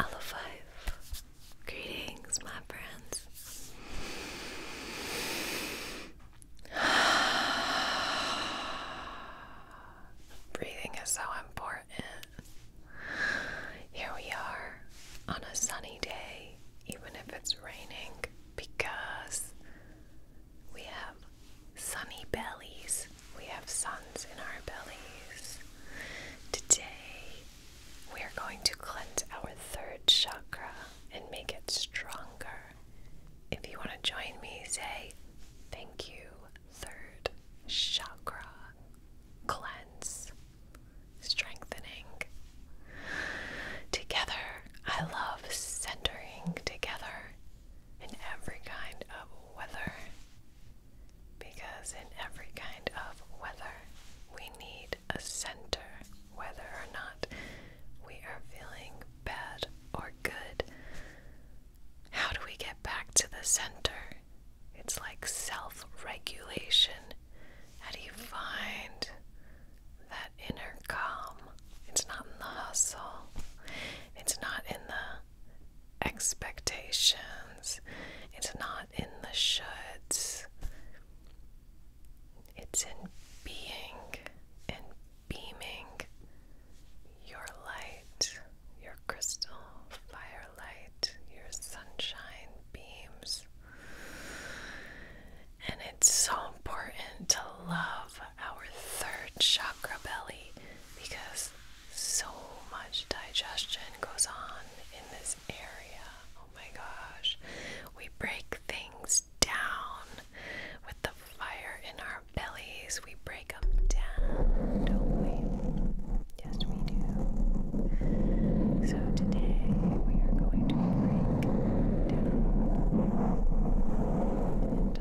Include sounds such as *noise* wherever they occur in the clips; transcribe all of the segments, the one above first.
Hello, five. Greetings, my friends. *sighs* Breathing is so important. Here we are on a sunny day, even if it's raining, because we have sunny bellies we have sons in our bellies. Today, we are going to cleanse our third chakra and make it stronger. If you want to join me, say thank you, third chakra. Cleanse, strengthening. Together, I love centering together in every kind of weather because in every kind of weather, we need a center, whether or not we are feeling bad or good. How do we get back to the center? It's like self regulation. How do you find that inner calm? It's not in the hustle, it's not in the expectations. It's not in the shoulds. It's in being and beaming your light, your crystal fire light, your sunshine beams. And it's so important to love our third chakra belly because so much digestion goes on in this area. Oh my gosh. We break things down with the fire in our bellies. We break them down, Yes, we do. So today we are going to break down and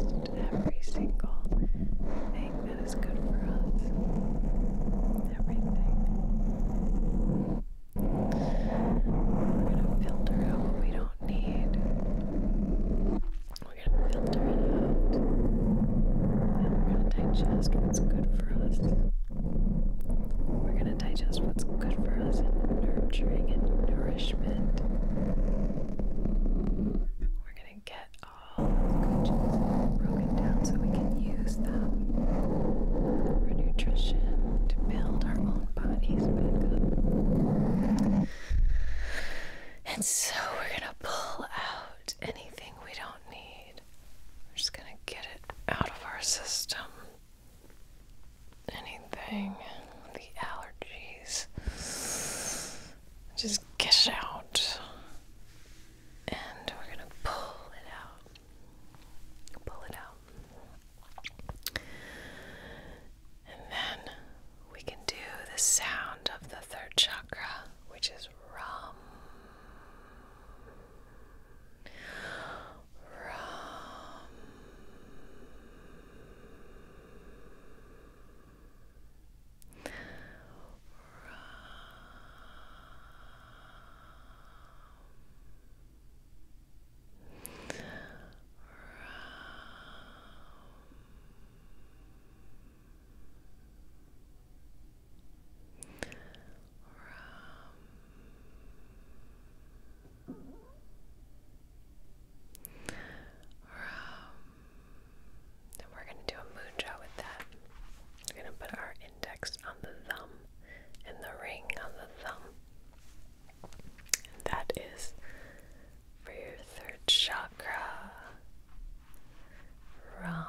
digest accept every single thing that is good for us. Everything. We're gonna filter out what we don't need. We're gonna filter it out. And we're gonna digest what's good for us. We're gonna digest what's good for us and nurturing and nourishment. We're going get all the good broken down so we can use them for nutrition to build our own bodies back up. And so we're gonna pull out anything we don't need. We're just gonna get it out of our system. Anything, the allergies, just get it out. And we're gonna pull it out. Pull it out. And then we can do the sound of the third chakra, which is rum. Rum. Rum. Rum. Um, and we're going to do a moon with that. We're going to put our index on the thumb and the ring on the thumb. And that is for your third chakra. Rum.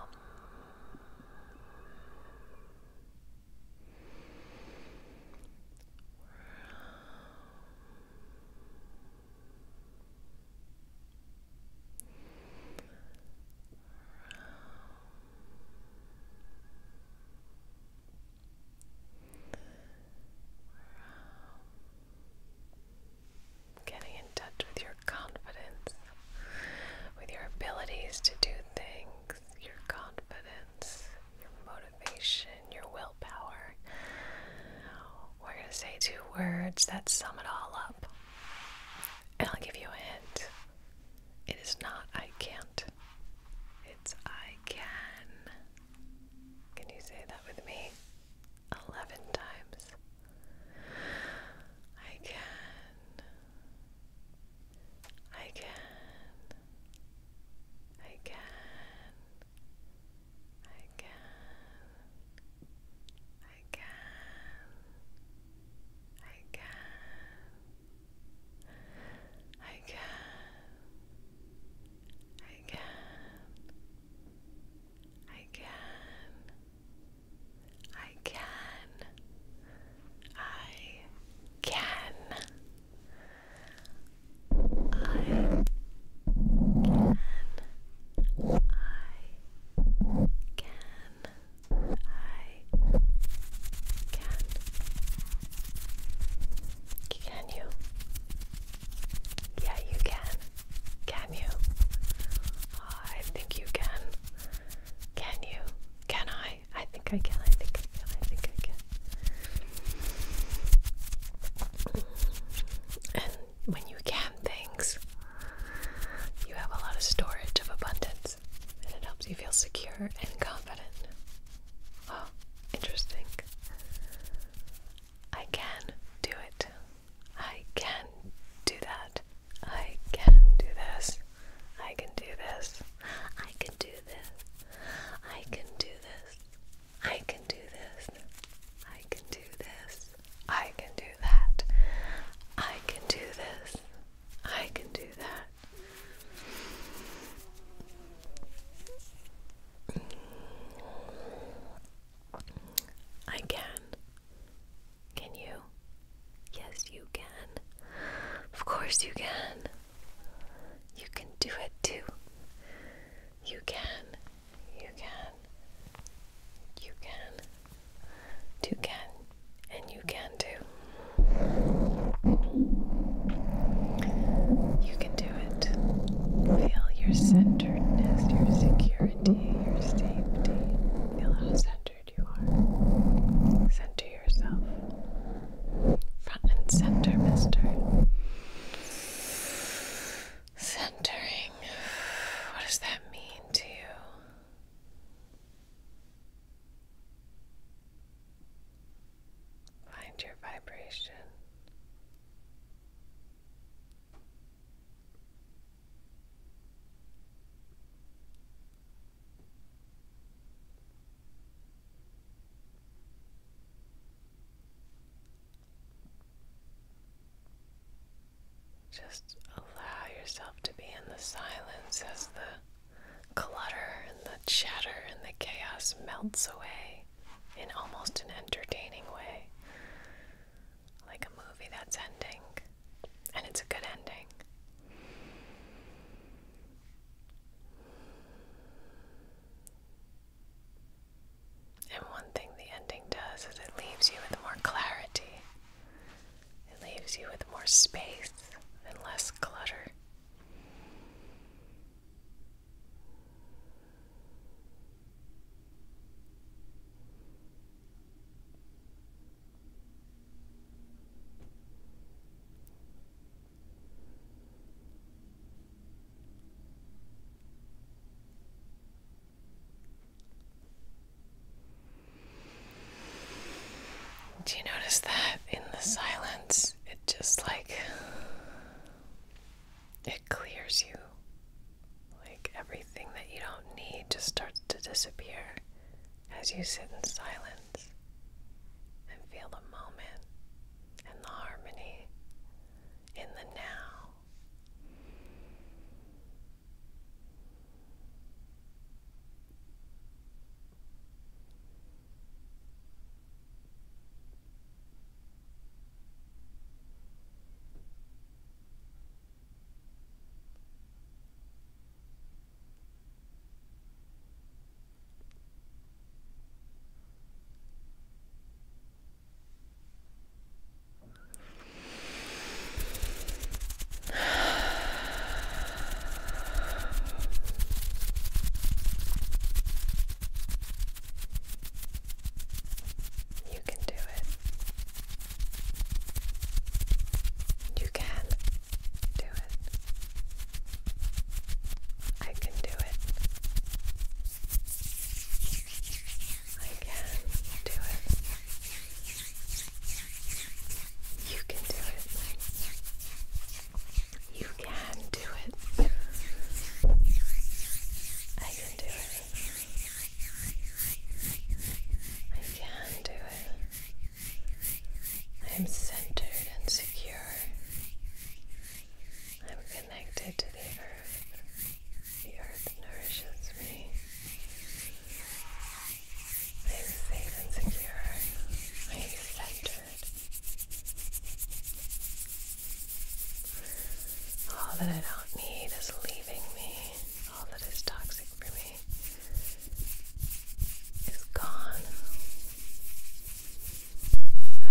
Getting in touch with your confidence, with your abilities to do things, your confidence, your motivation your willpower. We're going to say two words that sum it all up. And I'll give you a hint. It is not I can't, it's I can. Can you say that with me? 11 times. I can. I can. I can. I can, I can, I can, I can, I can, I can, I can. I can. I can, I can, I can. Can you? Yeah, you can. Can you? I think you can. Can you? Can I? I think I can. I think I can. I think I can. And when you can things, you have a lot of storage of abundance and it helps you feel secure and confident. Oh, interesting. I can do it. I can do that. I can do this. I can do this. I can do I can do this. I can do this. I can do this. I can do that. I can do this. I can do that. I can. Can you? Yes, you can. Of course, you can. You can do it too. You can. You can. You can. You can. And you can too. You can do it. Feel your centeredness, your security, your safety. Feel how centered you are. Center Front and center, mister. Centering. What does that mean to you? Find your vibration. Just allow yourself to be in the silence as the clutter and the chatter and the chaos melts away in almost an entertaining way. Like a movie that's ending, and it's a good ending. And one thing the ending does is it leaves you with more clarity. It leaves you with more space and less clutter. Do you notice that in the silence, it just like it clears you? Like everything that you don't need just starts to disappear as you sit in silence and feel the moment and the harmony in the now. You can do it. You can do it. I can do it. I can do it. You can do it. You can do it. I can do it. I can do it. I am centered and secure. I'm connected to the earth. The earth nourishes me. I am safe and secure. I am centered. All that I don't need is leaving me. All that is toxic for me is gone.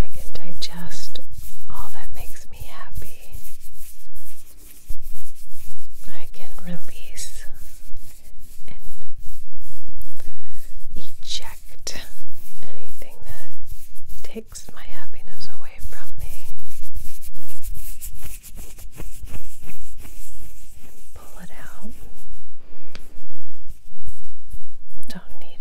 I can digest all that makes me happy. I can release and eject anything that takes my happiness away from me. And pull it out. Don't need it.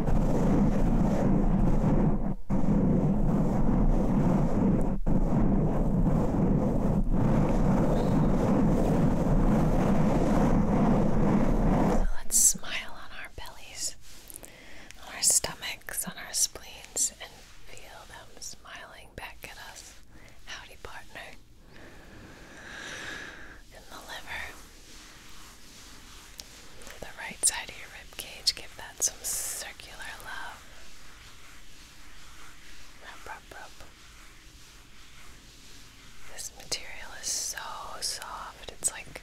So let's smile on our bellies, on our stomachs, on our spleens, and feel them smiling back at us. Howdy, partner. In the liver. The right side of your rib cage, give that some circular love. Rub, rub, rub. This material is so soft, it's like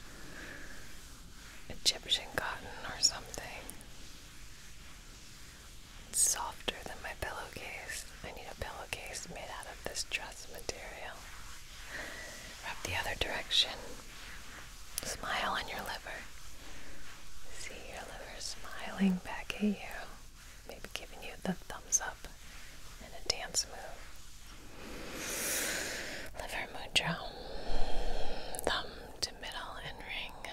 Egyptian cotton or something. It's softer than my pillowcase. I need a pillowcase made out of this dress material. Rub the other direction. Smile on your liver. See your liver smiling back at you, maybe giving you the thumbs up and a dance move. Liver mudra. Thumb to middle and ring.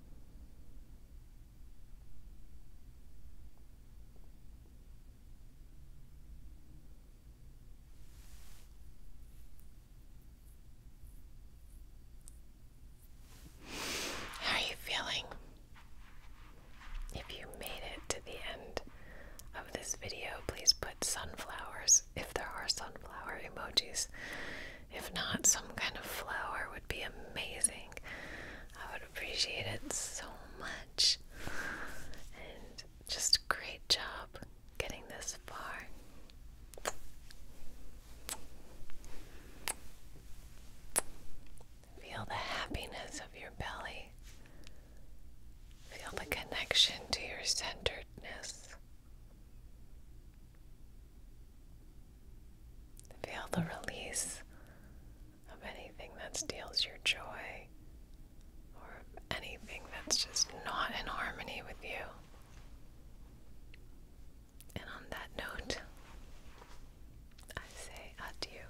How are you feeling? If you made it to the end of this video, please put sunflowers if there are sunflower emojis. If not, some kind of flower would be amazing. I would appreciate it so much. And just great job getting this far. Feel the happiness of your belly. Feel the connection to your centeredness. Feel the release of anything that steals your joy or anything that's just not in harmony with you. And on that note, I say adieu.